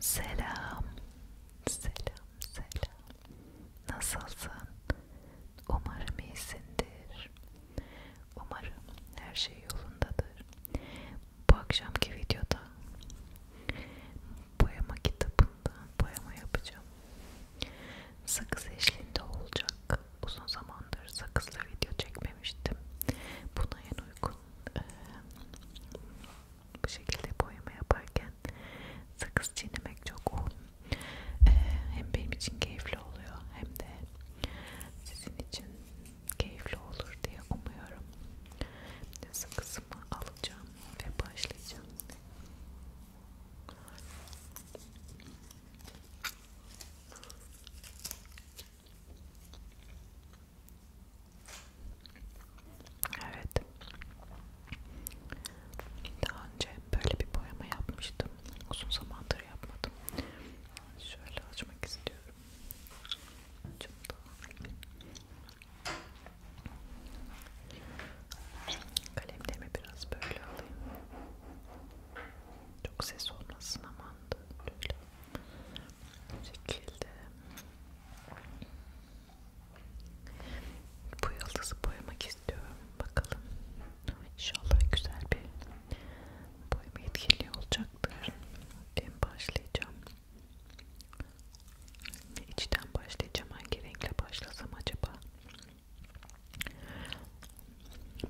Selam, selam, selam. Nasılsın? Umarım iyisindir. Umarım her şey yolundadır. Bu akşamki videoda boyama kitabından boyama yapacağım. Sakız eşliğinde olacak. Uzun zamandır sakızla video çekmemiştim. Buna en uygun e, bu şekilde boyama yaparken sakız çiğnemek çok o e, hem benim için keyifli oluyor hem de sizin için keyifli olur diye umuyorum. Şimdi sakızımı alacağım ve başlayacağım. Evet. Daha önce böyle bir boyama yapmıştım. Uzun zamandır yapmadım. Şöyle açmak istiyorum. Açım Kalemdemi biraz böyle alayım. Çok ses olmasın aman da. Böyle bu şekilde bu yıldızı boyamak istiyorum bakalım inşallah güzel bir boyama etkili olacaktır ben başlayacağım içten başlayacağım hangi renkle başlasam acaba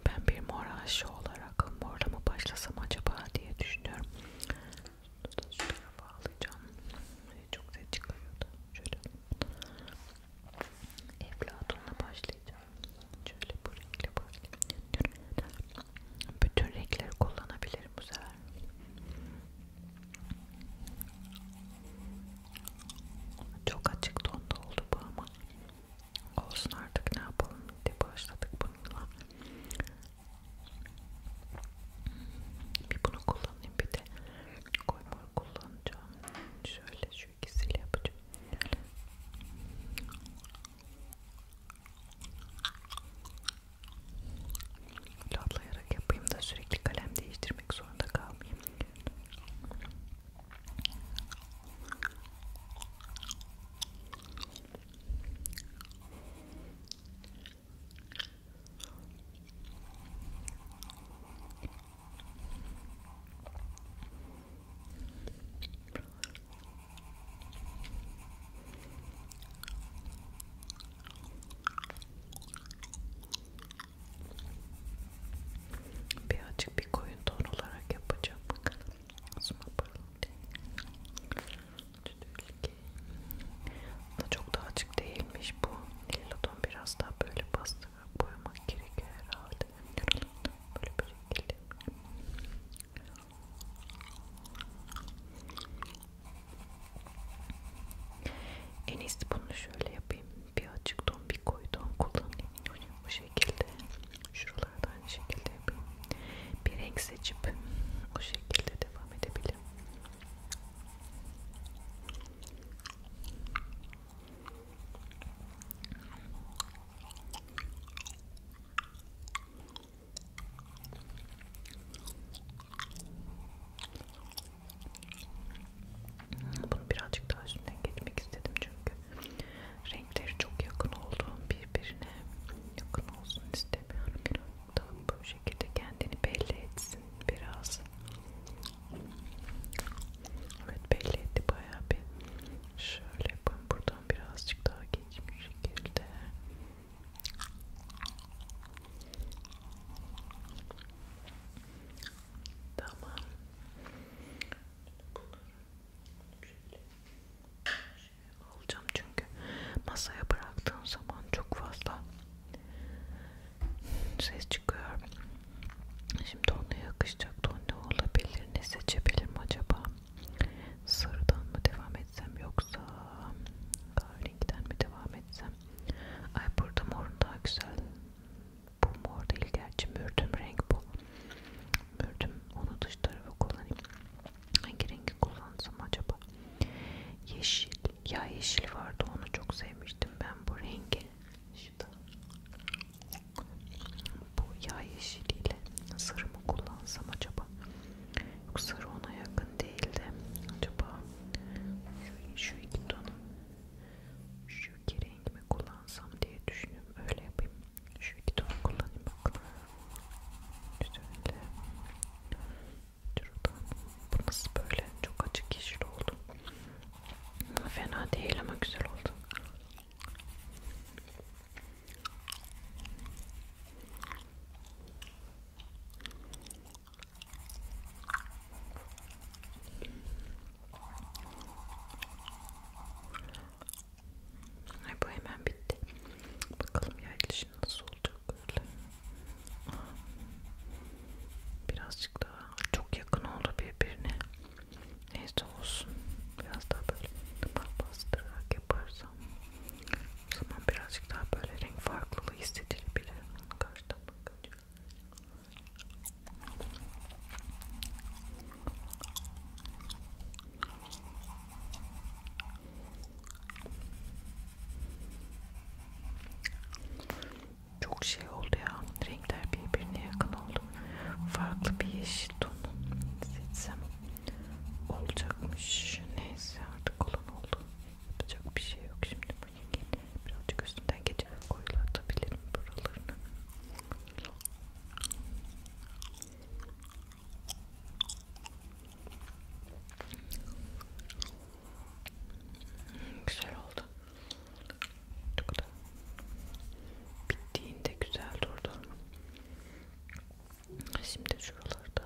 ben bir mor aşığı olarak morla mı başlasam acaba diye düşünüyorum bunu da şuraya bağlayacağım. Ee, çok ses çıkarıyordu. Şöyle. Eflatun'la başlayacağım. Şöyle bu renkle başlayacağım. Bütün renkleri kullanabilirim bu sefer. Çok açık tonda oldu bu ama olsun artık ne yapalım diye başladık bununla bir bunu kullanayım bir de koymur kullanacağım. Şöyle şu ikisiyle yapacağım. Lablayarak yapayım da sürekli kalem değiştirmek zorunda kalmayayım. Birazcık bir koyun ton olarak yapacağım bakalım. Asma parıltı da çok da açık değilmiş bu lila ton biraz daha böyle bastırarak boyamak gerekiyor herhalde böyle bir şekilde en iyisi bunu şöyle yapayım bir açık ton bir koyu ton kullanayım bu şekilde şuralara da aynı şekilde yapayım. Bir renk seçip o şekilde devam edebilirim. Bunu birazcık daha üstünden geçmek istedim çünkü renkleri çok yakın olduğum birbirine yakın olsun istemiyorum biraz da bu şekilde kendini belli etsin biraz evet belli etti bayağı bir şöyle yapayım buradan birazcık daha geçmiş bir şekilde Tamam. Bunları şöyle, şöyle alacağım çünkü masaya bıraktığım zaman çok fazla ses çıkıyor. Şimdi ona yakışacak ton ne olabilir? Ne seçebilirim acaba? Sarıdan mı devam etsem yoksa kahverengi'den mi devam etsem? Ay burada morun daha güzel. Bu mor değil gerçi mürdüm renk bu. Mürdüm onu dış tarafa kullanayım. Hangi rengi kullansam acaba? Yeşil. Ya yeşil vardı onu çok sevmiştim ben bu rengi. Şurada. Bu yağ yeşiliyle sarı mı kullansam acaba? Yok sarı ona yakın değildi. Acaba şu, şu iki tonu şu iki rengi mi kullansam diye düşünüyorum. Öyle yapayım. Şu iki ton kullanayım bak. Şöyle. Şuradan. Burası böyle çok açık yeşil oldu. Fena değil ama güzel oldu. Ay bu hemen bitti. Bakalım yerleşim nasıl olacak böyle. Birazcık daha çok yakın oldu birbirine. Neyse olsun. Biraz daha böyle bastırarak yaparsam o zaman birazcık daha böyle renk farklılığı hissedilebilir. Karşıdan bakınca. Çok şey oldu ya. Renkler birbirine yakın oldu. Farklı bir yeşil ton seçsem olacakmış. Neyse artık olan oldu. Yapacak bir şey yok şimdi bu rengin. Birazcık üstünden geçip koyulatabilirim buralarını. Güzel oldu. Çok da bittiğinde güzel durdu. Şimdi şuralarda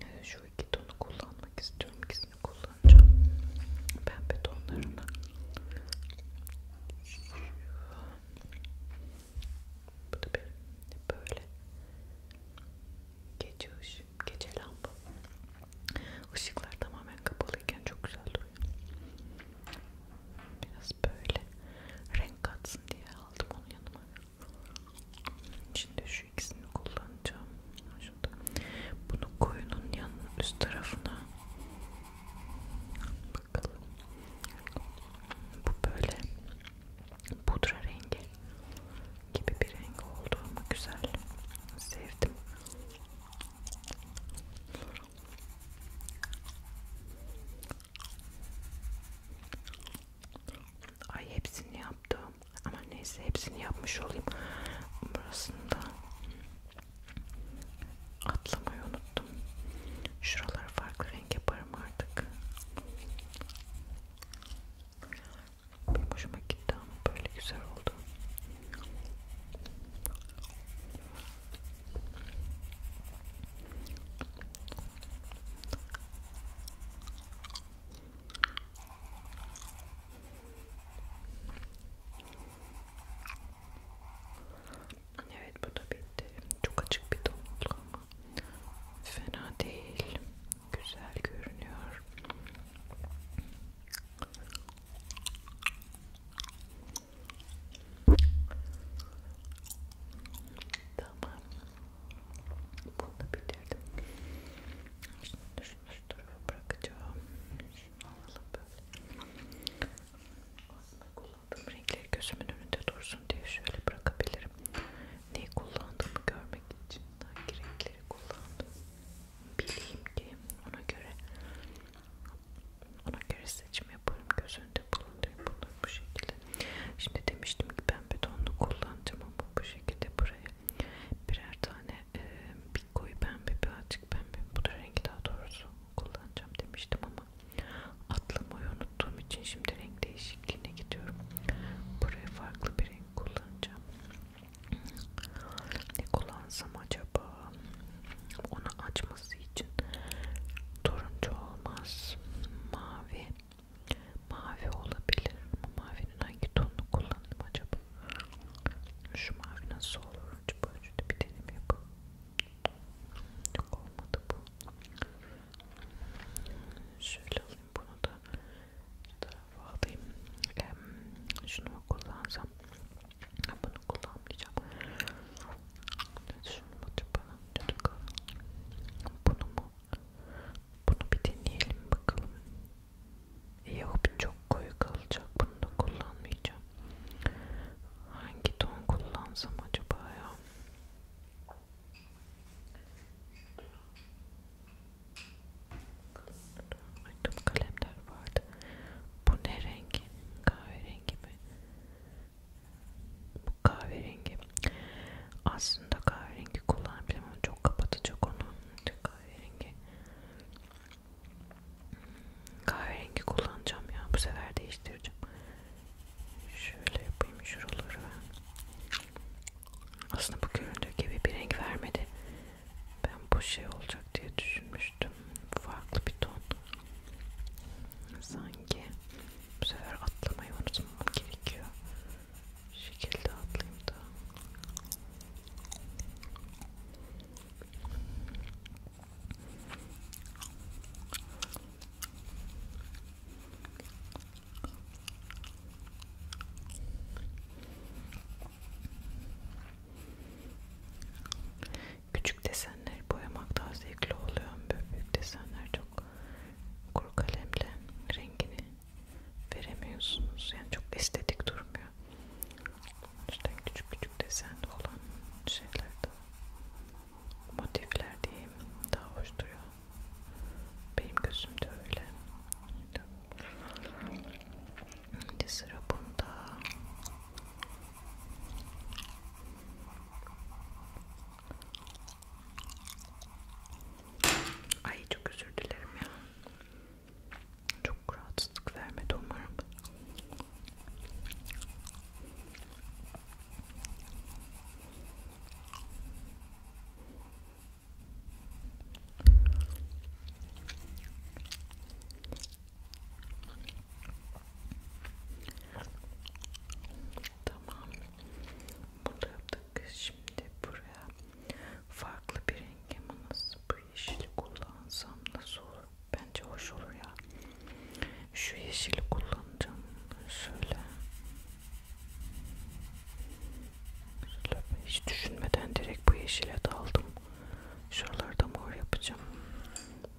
e, şu iki tonu kullanmak istiyorum. İkisini kullanacağım. Pembe tonlarını. Bu da bir böyle gece ışık, gece lamba. Işıklar tamamen kapalıyken çok güzel duruyor. Biraz böyle renk katsın diye aldım onu yanıma. Şimdi şu ikisini kullanacağım. Şurada. Bunu koyunun yan üst tarafına bakalım. Bu böyle pudra rengi gibi bir renk oldu ama güzel. Sevdim. Ay hepsini yaptım. Ama neyse hepsini yapmış olayım. Burasında atlamayı unuttum. Şuralar farklı renk yaparım artık. Benim hoşuma gitti ama böyle güzel oldu. Evet bu da bitti. Çok açık bir ton oldu ama fena değil. Güzel görünüyor. Tamam. Bunu da bitirdim. Şimdi şu üst tarafa bırakacağım. Şunu alalım böyle. Aslında kullandığım renkleri gözümün önünde dursun diye şöyle bırakabilirim. Neyi kullandığımı görmek için hangi renkleri kullandım bileyim ki ona göre ona göre seçim yaparım. Göz önünde bulundurayım bunları bu şekilde. Şimdi demiştim ki ben betonlu kullandım ama bu şekilde buraya birer tane e, bir koyu pembe bir açık pembe bu da renk daha doğrusu kullanacağım demiştim ama atlamayı unuttuğum için şimdi renk değişikliğine gidiyorum. Buraya farklı bir renk kullanacağım. Ne kullansam acaba? Onu açması için turuncu olmaz. Mavi. Mavi olabilir ama mavinin hangi tonunu kullandım acaba? Şu mavi nasıl olur acaba? Şöyle bir deneyim yapalım. Çok olmadı bu. Şöyle alayım bunu da şu tarafa alayım. Ee, şunu mu kullansam? Bunu kullanmayacağım. Şunu mu bana? Bunu mu? Bunu bir deneyelim bakalım. Yok çok koyu kalacak. Bunu da kullanmayacağım. Hangi ton kullansam acaba ya? Açtım kalemler vardı. Bu ne rengi? Kahverengi mi? Bu kahverengi. Aslında kahverengi kullanabilirim ama çok kapatacak onu. Kahverengi. Kahverengi kullanacağım ya. Bu sefer değiştireceğim. Şöyle yapayım şuraları. Aslında bu göründüğü gibi bir renk vermedi. Ben bu şey olacak diye düşünmüştüm. Farklı bir ton. Sanki bu sefer atlamayı unutmam gerekiyor. Şu şekilde atlayayım da. Küçük desenleri boyamak daha zevkli oluyor. Böyle büyük desenler çok kuru kalemle rengini veremiyorsunuz. Yani çok estetik durmuyor. İşte küçük küçük desenli olan şeyler de motifler diyeyim daha hoş duruyor benim gözümde öyle şimdi sıra bunda ay çok özür dilerim ya çok rahatsızlık vermedi umarım Tamam. Bunu da yaptık. Şimdi buraya farklı bir renk emanası bu yeşili kullansam nasıl olur? Bence hoş olur ya. Şu yeşili kullanacağım. Şöyle. Hiç düşünmeden direkt bu yeşile daldım. Şuralarda mor yapacağım.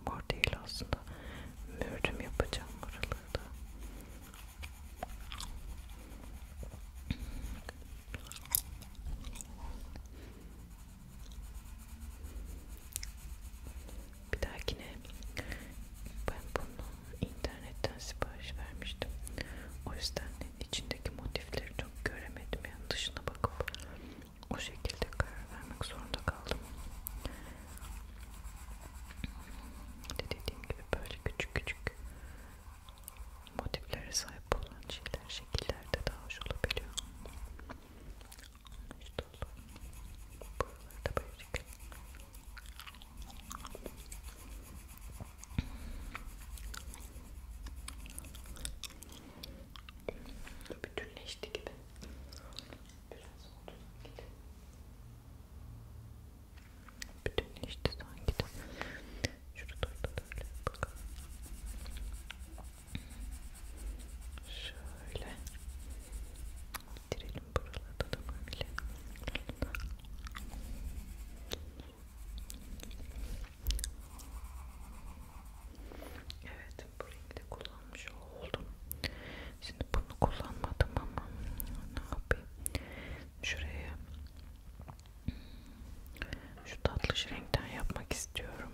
Mor değil aslında. Mürdüm yapacağım buralarda. Bir dahakine ben bunu internetten sipariş vermiştim. O yüzden içindeki motifleri çok göremedim. Yani dışına bakıp o şekilde karar vermek zorunda kaldım. De dediğim gibi böyle küçük küçük motiflere sahip olan şeyler şekillerde daha hoş olabiliyor konuştuğum buralarda böyle çıkıyor. Bütünleşti gibi. Biraz oldu sanki. Bütünleşti sanki de. Şurada da böyle bakalım. Şöyle bitirelim buralarda da böyle. Evet, bu rengi de kullanmış oldum. Şimdi bunu kullanmadım ama ne yapayım? Şuraya şu tatlış renkten yapmak istiyorum.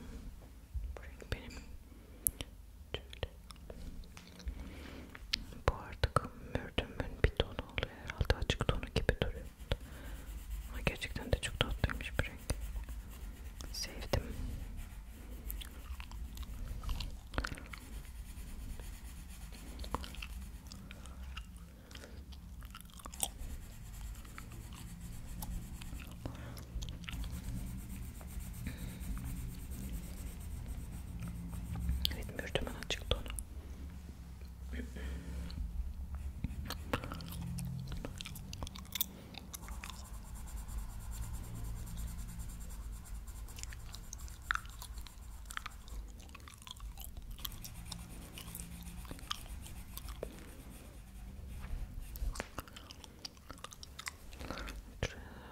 Bu renk benim bu artık mürdümün bir tonu oluyor herhalde açık tonu gibi duruyor. Ama gerçekten de çok tatlıymış bir renk. Sevdim. Evet mürtümen açık tonu. Şuraya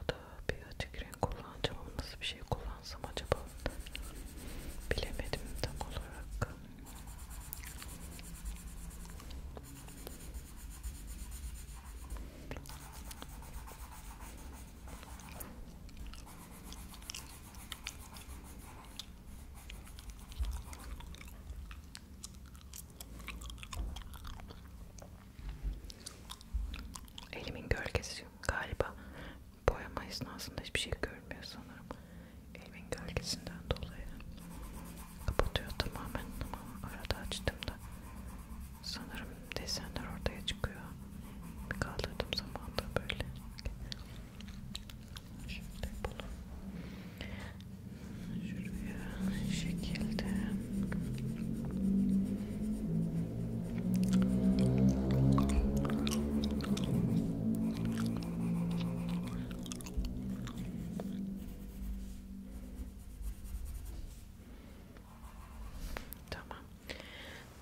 da bir açık renk kullanacağım ama nasıl bir şey kullansam acaba bilemedim tam olarak. Elimin gölgesi galiba boyama esnasında hiçbir şey görmüyor sanırım. Elimin gölgesinden dolayı kapatıyor tamamen ama arada açtım da sanırım desenler ortaya çıkıyor. Bir kaldırdığım zaman da böyle. Şimdi bunu şuraya şekilde Tamam.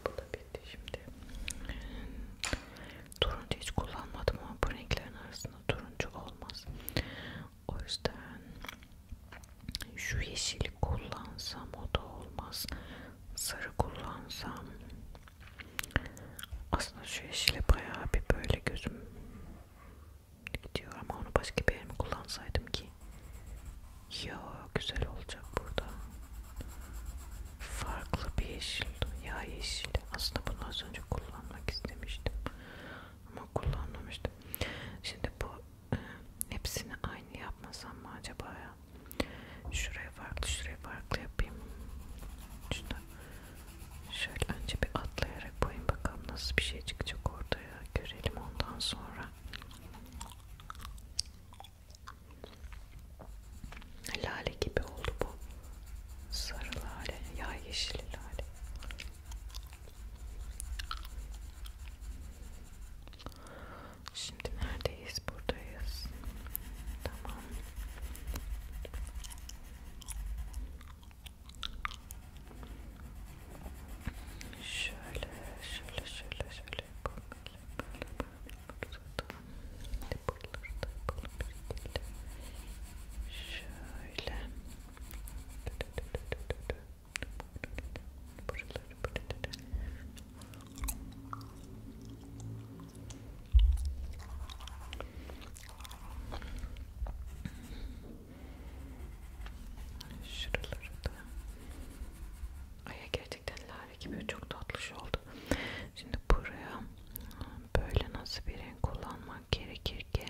Bu da bitti şimdi. Turuncu hiç kullanmadım ama bu renklerin arasında turuncu olmaz. O yüzden şu yeşili kullansam o da olmaz. Sarı kullansam. Aslında şu yeşile bayağı bir böyle gözüm gidiyor ama onu başka bir yerime kullansaydım ki. Ya güzel olacak burada. Farklı bir yeşil. Ya yeşil. Aslında bunu az önce kullanmak istemiştim ama kullanmamıştım. Şimdi bu e, hepsini aynı yapmasam mı acaba ya? Şuraya farklı, şuraya farklı yapayım. Şurada şöyle önce bir atlayarak koyayım bakalım nasıl bir şey çıkacak ortaya. Görelim ondan sonra. Lale gibi oldu bu. Sarı lale, ya yeşil lale. Şimdi neredeyiz? Buradayız. Tamam. Şöyle, şöyle, şöyle, şöyle yapalım. Şöyle. Buraları buraları. Şuraları da. Ay gerçekten lale gibi çok tatlı şey oldu. Şimdi buraya böyle nasıl bir renk kullanmak gerekir rengi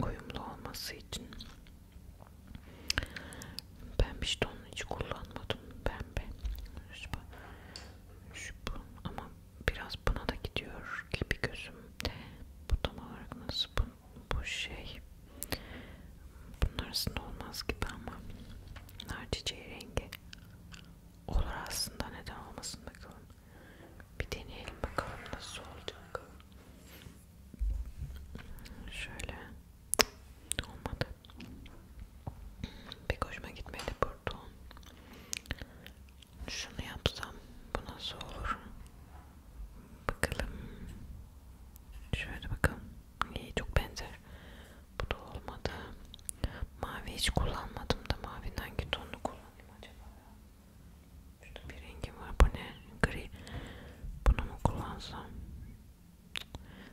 uyumlu olması için ben işte şey onu hiç kullanmadım pembe şu bu ama biraz buna da gidiyor gibi gözüm bu tam olarak nasıl bu, bu şey bunlar aslında olmaz gibi ama nar çiçeği rengi olur aslında neden olmasın bakalım bir deneyelim bakalım nasıl olacak. Şöyle olmadı. Pek hoşuma gitmedi burada. Şunu yapsam bu nasıl olur? Bakalım. Şöyle bakalım. İyi çok benzer. Bu da olmadı. Mavi hiç kullanmadım da maviden hangi tonunu kullanayım acaba? Şurada bir rengi var. Bu ne? Gri. Bunu mu kullansam?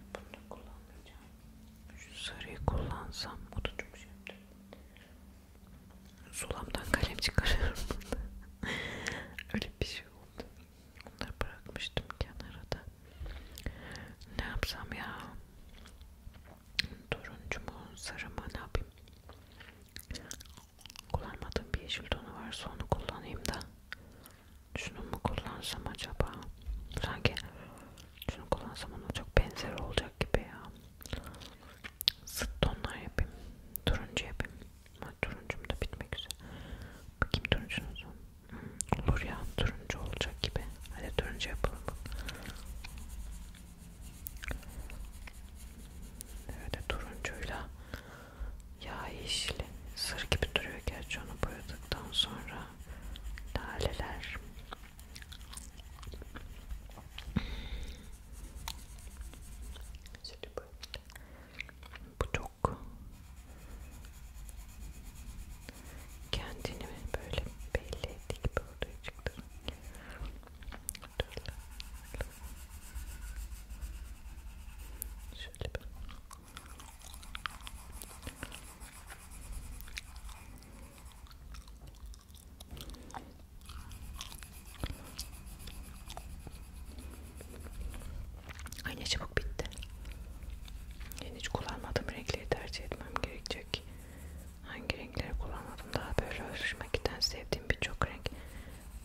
Bunu da kullanmayacağım. Şu sarıyı kullansam. O da çok şey yaptı. Sulamdan kalem çıkarıyorum burada. Öyle bir şey oldu. Onları bırakmıştım kenara da. Ne yapsam ya? Turuncu mu? Sarı mı? Ne yapayım? Kullanmadığım bir yeşil tonu varsa onu kullanayım da. Şunu mu kullansam acaba? Sanki şunu kullansam ona çok benzer olacak gibi ya. Sıt tonlar yapayım. Turuncu yapayım. Ha, turuncum da bitmek üzere. Bakayım turuncunun son. Hmm, olur ya turuncu olacak gibi. Hadi turuncu yapalım. Böyle turuncuyla yağ yeşili sır gibi duruyor gerçi onu boyadıktan sonra laleler bu çok kendini böyle belli ettik böyle çıktı Şöyle bir. Ay ne çabuk bitti. Yani hiç kullanmadığım renkleri tercih etmem gerekecek hangi renkleri kullanmadım daha böyle örüşmekten sevdiğim birçok renk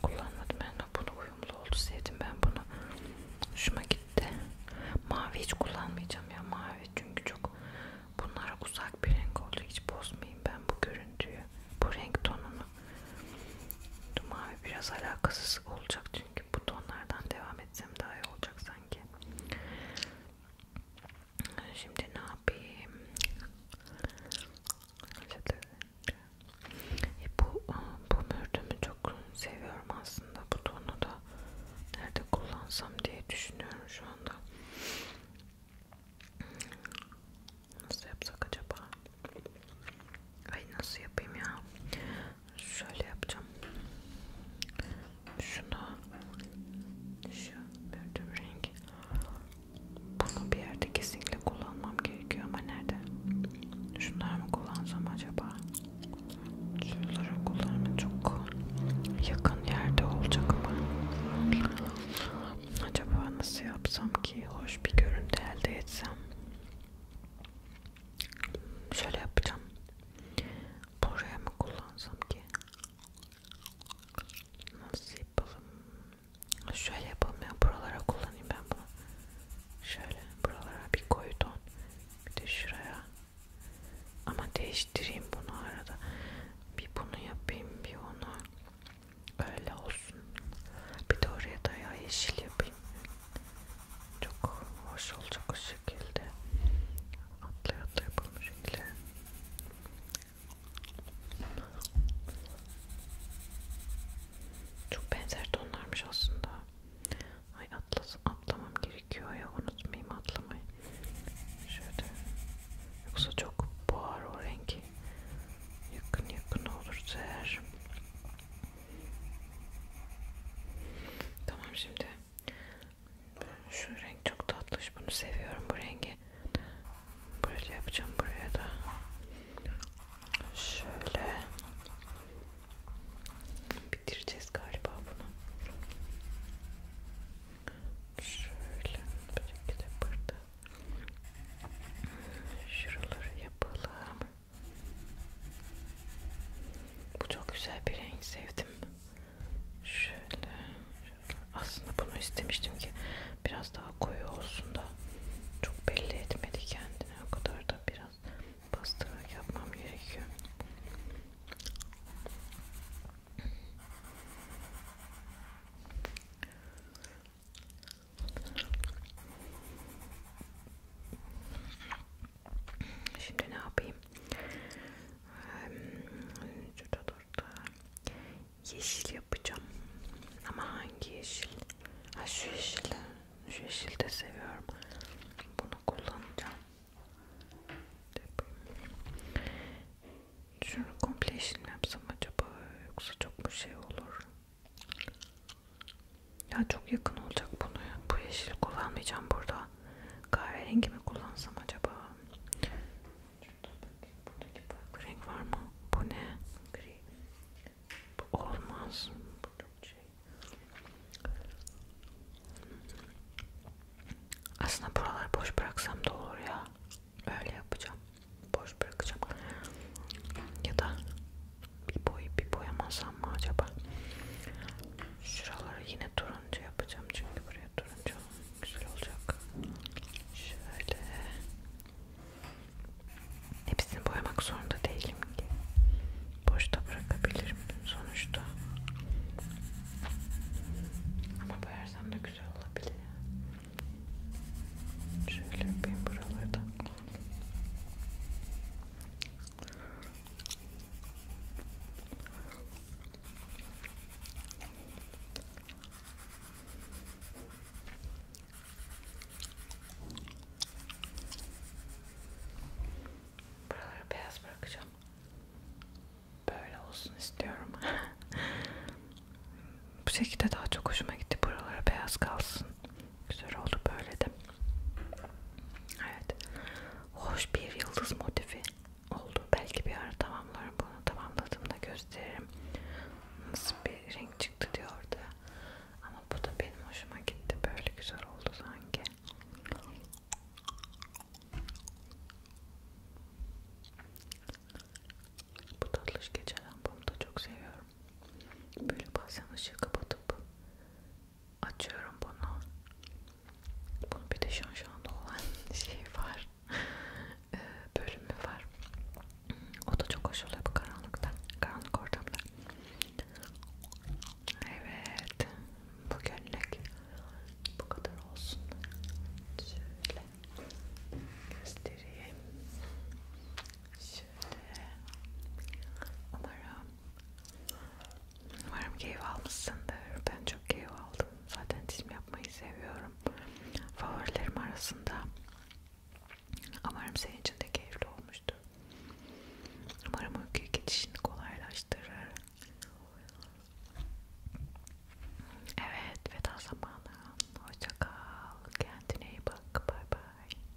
kullanmadım ben bunu uyumlu oldu sevdim ben bunu hoşuma gitti mavi hiç kullanmayacağım ya mavi çünkü çok bunlara uzak bir renk oldu hiç bozmayayım ben bu görüntüyü bu renk tonunu mavi biraz alakasız olacak çünkü bu tonlardan devam etsem daha iyi olacak sanki Şimdi ne yapayım? E bu e, bu mürdümü çok seviyorum aslında. Bu tonu da nerede kullansam diye düşünüyorum şu anda. Nasıl yapsak acaba? Ay nasıl yapayım ya? Şöyle yapacağım. Şunu şu mürdüm rengi bunu bir yerde kesinlikle kullanmam gerekiyor ama nerede? Şunları mı kullansam acaba? Şunları kullanma çok yakın yerde olacak ama acaba nasıl yapsam ki hoş bir görüntü elde etsem? Şöyle yapacağım. Buraya mı kullansam ki? Nasıl yapalım? Şöyle yapalım ya. Buralara kullanayım ben bunu. Şöyle buralara bir koy ton. Bir de şuraya. Ama değiştireyim bunu arada. Bir bunu yapayım bir onu. Öyle olsun. Bir de oraya da ya yeşil yapayım. Çok hoş olacak o şekilde. Atlaya atlaya bu şekilde. Çok benzer tonlarmış aslında. Ay atlas atlamam gerekiyor ya unutmayayım atlamayı. Şöyle. Yoksa çok boğar o rengi. Yakın yakın olur eğer. Tamam şimdi şu renk çok tatlış. Bunu seviyorum bu rengi. Böyle yapacağım buraya da. Şöyle bitireceğiz galiba bunu. Şöyle belki de burada. Şuraları yapalım. Bu çok güzel bir renk sevdim. Şöyle, şöyle. Aslında bunu istemiştim ki biraz daha koyu olsun da çok belli etmedi kendini. O kadar da biraz bastırarak yapmam gerekiyor. Şimdi ne yapayım? Şurada vardı. Yeşil yapacağım. Ama hangi yeşil? Ha şu yeşili. Şu yeşili de seviyorum. Bunu kullanacağım. Şunu komple yeşil mi yapsam acaba? Yoksa çok mu şey olur? Ya çok yakın olacak bunu. Bu yeşil kullanmayacağım burada. Kahverengi mi kullansam acaba? Şurada bakayım. Buradaki farklı renk var mı? Bu ne? Gri. Bu olmaz. Bu çok şey. Aslında buraları boş bıraksam da olur ya. Öyle yapacağım. Boş bırakacağım. Ya da bir boyayıp bir boyamasam mı acaba? Şuraları yine turuncu yapacağım çünkü buraya turuncu Güzel olacak. Şöyle. Hepsini boyamak zorunda değilim ki. Boşta bırakabilirim sonuçta. Ama boyarsam da güzel olabilir. Şöyle yapayım buraları da. Buraları beyaz bırakacağım. Böyle olsun istiyorum. Bu şekilde daha çok hoşuma gitti. Buralara beyaz kalsın. Güzel oldu böyle de. Evet. Hoş bir yıldız motifi oldu. Belki bir ara tamamlarım bunu. Tamamladığımda gösteririm. Nasıl bir renk çıktı diyordu. Ama bu da benim hoşuma gitti. Böyle güzel oldu sanki. Bu tatlış gece lambamı da çok seviyorum. Böyle bazen ışığı kapatıp açıyorum bunu. Bunun bir de şanşanda olan şey var. Ee, bölümü var. O da çok hoş oluyor bu karanlıkta, karanlık ortamda. Evet, bugünlük bu kadar olsun. Şöyle göstereyim. Şöyle. Umarım, umarım keyif almışsındır. Ben çok keyif aldım. Zaten çizim yapmayı seviyorum. Favorilerim arasında. Umarım senin için de keyifli olmuştur. Umarım uykuya geçişini kolaylaştırır. Evet veda zamanı. Hoşça kal. Kendine iyi bak. Bay bay.